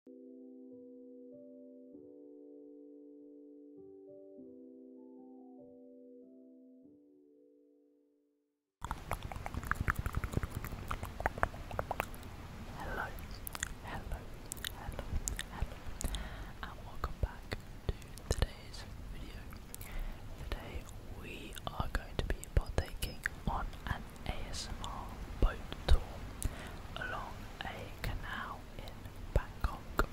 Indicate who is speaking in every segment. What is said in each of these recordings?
Speaker 1: Hello, hello, hello, hello, and welcome back to today's video. Today we are going to be partaking on an ASMR boat tour along a canal in Bangkok.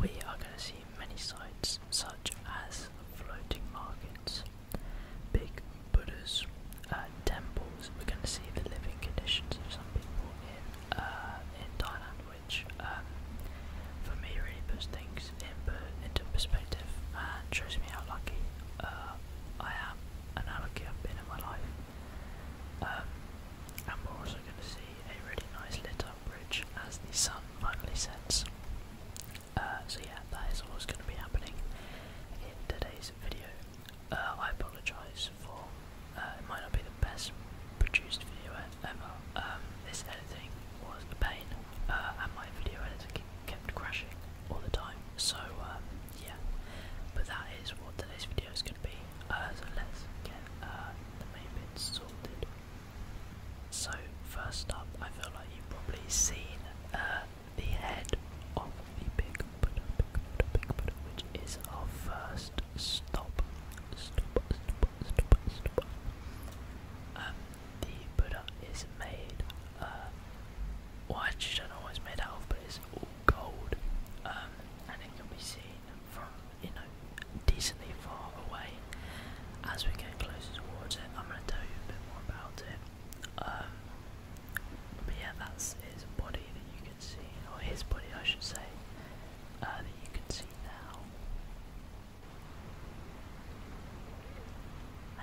Speaker 1: We are going to see many sites such as floating markets, big Buddhas, uh, temples. We're going to see the living conditions of some people in uh, in Thailand, which um, for me really puts things into perspective and shows me how lucky uh, I am and how lucky I've been in my life. Um, and we're also going to see a really nice lit up bridge as the sun finally sets. Uh, so yeah, that is what's going to be happening in today's video. Uh, I apologise for uh, it might not be the best produced video ever. Um, this editing was a pain, uh, and my video editing kept crashing all the time. So um, yeah, but that is what today's video is going to be. Uh, uh, the main bits sorted. So first up, I feel like you've probably seen uh, the head of the big Buddha, big Buddha, Buddha, is our first stop. Um, the Buddha is made uh, well I don't know what it's made out of but it's gold um, and it can be seen from you know decently far away as we get closer towards it I'm going to tell you a bit more about it um, but yeah that's his body that you can see or his body I should say uh, that you can see now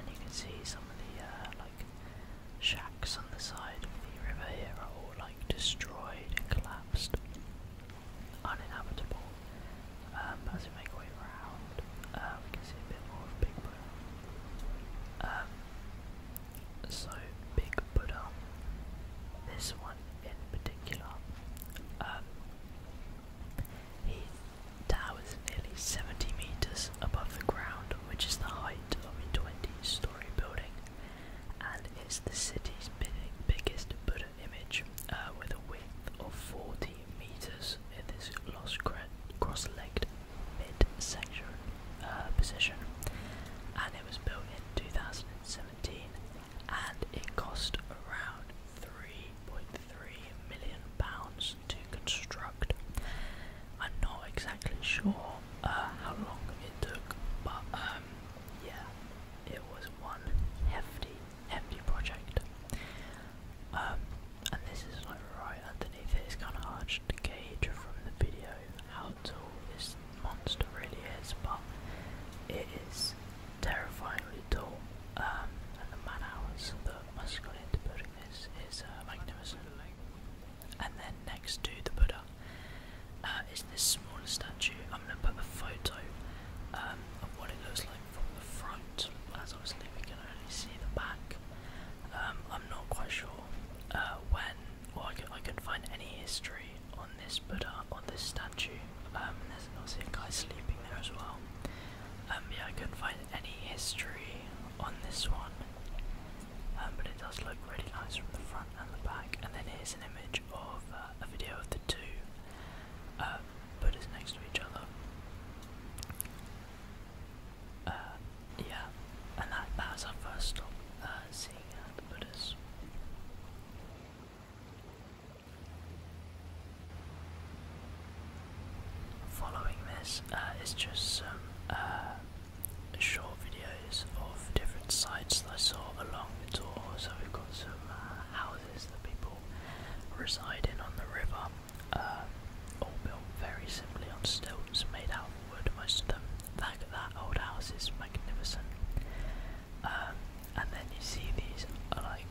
Speaker 1: and you can see some of the uh, like Shacks on the side of the river here are all like destroyed and collapsed, uninhabitable. Um, as we make our way around, uh, we can see a bit more of Big Buddha. Um, so, Big Buddha, this one in particular, um, tower is nearly 70 meters above the ground, which is the height of a 20-story building, and it's the city's biggest Buddha image, uh, with a width of 40 meters in this cross-legged mid-section uh, position, and it was built in 2017, and it cost around 3.3 million pounds to construct. I'm not exactly sure uh, how long it took, but um, yeah, it was one hefty, hefty project. Um, and this is like right underneath it. It's kind of hard to gauge from the video how tall this monster really is, but it is terrifyingly tall. Um, and the man hours that must have into putting this is uh, magnificent. And then next to the Buddha uh, is this smaller statue. I'm going to put a photo um, of what it looks like from the front, as obviously we can only see the back. Um, I'm not quite sure uh, when, or I can I find any history on this Buddha, on this statue. Um, there's obviously a guy sleeping there as well. Um, yeah, I couldn't find any history on this one, um, but it does look really nice from the front and the back. And then here's an image of uh, a video of the two uh, Buddhas next to each other. Uh, yeah, and that, that was our first stop seeing the Buddhas. Following this uh, is just some uh, short videos of different sites that I saw along the tour. So we've got some uh, houses that people reside in on the river, uh, all built very simply on stones made out of wood, most of them. That, that old house is magnificent. Um, and then you see these like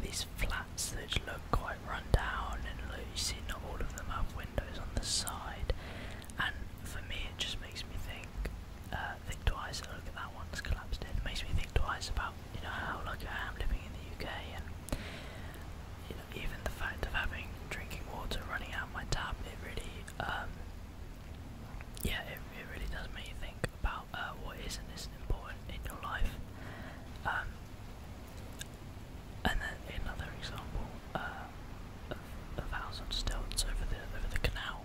Speaker 1: these flats that look quite run down and you see not all of them have windows on the side and for me it just makes me think uh, think twice oh, look at that one's collapsed it makes me think twice about you know how lucky I am living in the UK and even the fact of having drinking water running out my tap it really um, yeah it it really does make you think about uh, what is and isn't important in your life. Um, and then another example uh, of, of house on stilts over the over the canal,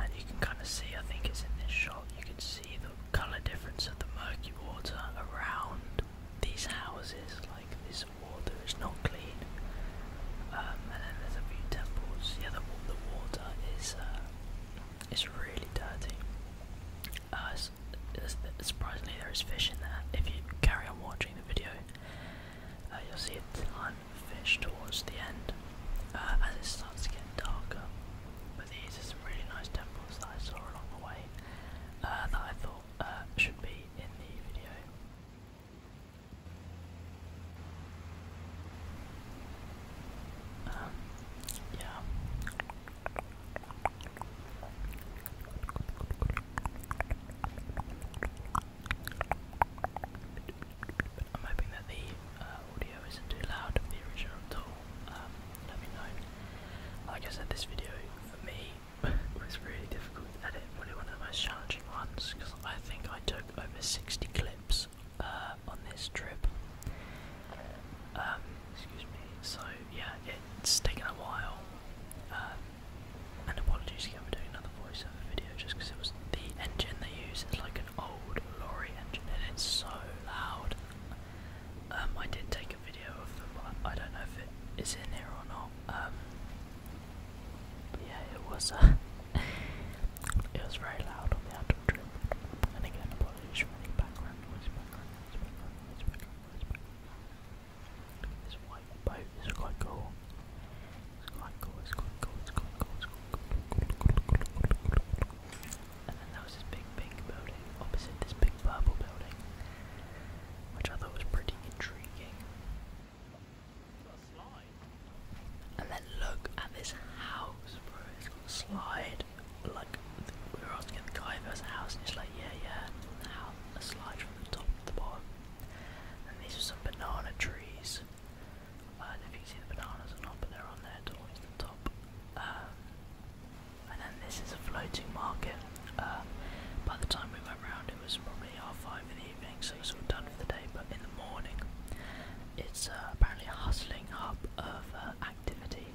Speaker 1: and you can kind of see. I think it's in this shot. You can see the color difference of the murky water around these houses. Like this water is not clean. Um, and then there's a few temples. Yeah, the, the water is. Uh, it's really dirty. Uh, surprisingly, there is fish in there. If you carry on watching the video, uh, you'll see a ton of fish towards the end uh, as it starts to get darker. But these are some really nice temples that I saw along the way that I thought should be in the video yeah. I'm hoping that the uh, audio isn't too loud of the original at all. Um, let me know. Like I said, this video for me was really difficult to edit, probably one of the most challenging ones because I think I took over 60 clips uh, on this trip. Um, excuse me. So yeah, it's taken a while. Um, and apologies again for doing another voiceover video, just because it was the engine they use is like an old lorry engine, and it's so loud. Um, I did take a video of them, but I don't know if it is in here or not. Um, yeah, it was. Uh, it was very loud on the outdoor trip. And again, apologies for any background noise, background noise, background noise, background noise, background noise. This white boat is quite cool. It's quite cool, it's quite cool, it's quite cool, it's quite cool. It's quite cool. And then there was this big pink building opposite this big purple building, which I thought was pretty intriguing. And then look at this house, bro. It's got a slide. Like, we were asking the guy if there house, and he's like, yeah, yeah. the house, a slide from the top to the bottom. And these are some banana trees. I don't know if you see the bananas or not, but they're on there towards the top. Um, and then this is a floating market. Um, by the time we went around, it was probably half five in the so it's all done for the day. But in the morning, it's uh, apparently a hustling hub of uh, activity.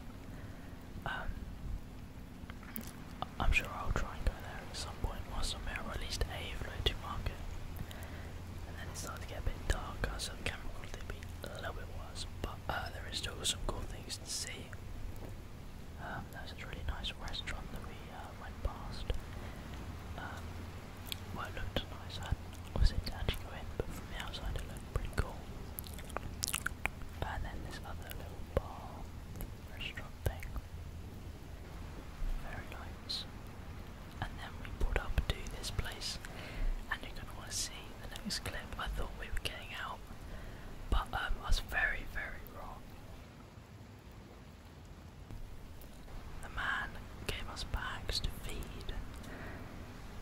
Speaker 1: Um, I'm sure I'll try and go there at some point whilst I'm here, or at least a floating market. And then it started to get a bit darker, so the camera quality would be a little bit worse. But uh, there is still some cool things to see. Um, there's a really nice restaurant that we went past. Um, well, it looked nice. I wasn't actually go in, but from the outside it looked pretty cool. And then this other little bar restaurant thing. Very nice. And then we pulled up to this place, and you're gonna want to see the next clip. I thought we were getting out, but um, I was very, very wrong. The man gave us bags to feed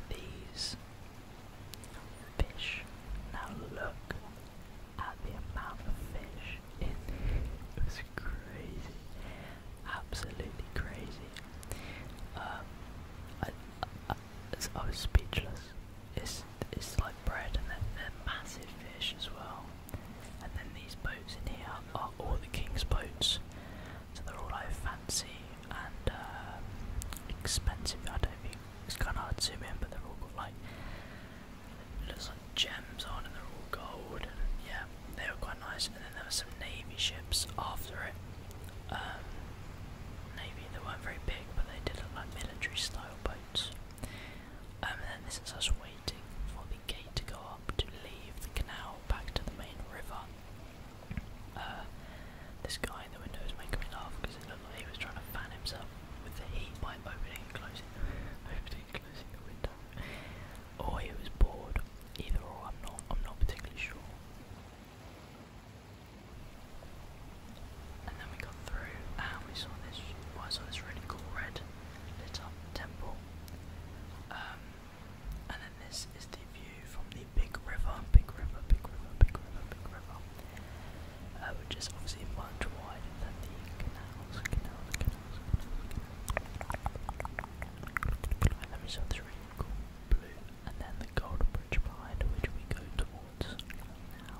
Speaker 1: these fish. Now look at the amount of fish It was crazy. Absolutely crazy. Um, I, was speechless. It's, it's like bread and they massive fish as well. And then these boats in here are all the king's boats. So they're all like fancy and uh, expensive. I don't think it's kind of hard to zoom in, but they're all got like looks like gems on, and they're all gold. And yeah, they were quite nice. And then there were some navy ships after it. Um, navy, they weren't very big, but they did look like military style boats. Um, and then this is us waiting for the gate to go up to leave the canal back to the main river. Uh, this guy in the window is making me laugh because it looked like he was trying to fan himself with the heat by opening and closing, opening and closing the window. Or he was bored. Either or, I'm not. I'm not particularly sure. And then we got through, and we saw this. Well, saw this really cool red lit up temple. Um, and then this is the view from the big river, big river, big river, big river, big river, uh, which is obviously much wider than the canals, canals, canals, canals. And then we saw the cool blue, and then the golden bridge behind which we go towards now.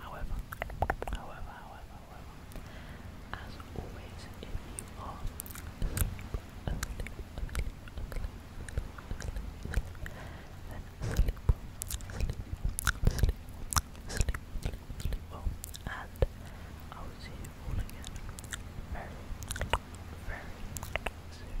Speaker 1: However, however, however, however, as always, if you are asleep, asleep, asleep, asleep, then sleep, sleep, sleep, sleep, sleep, sleep well, and I will see you all again very, very soon.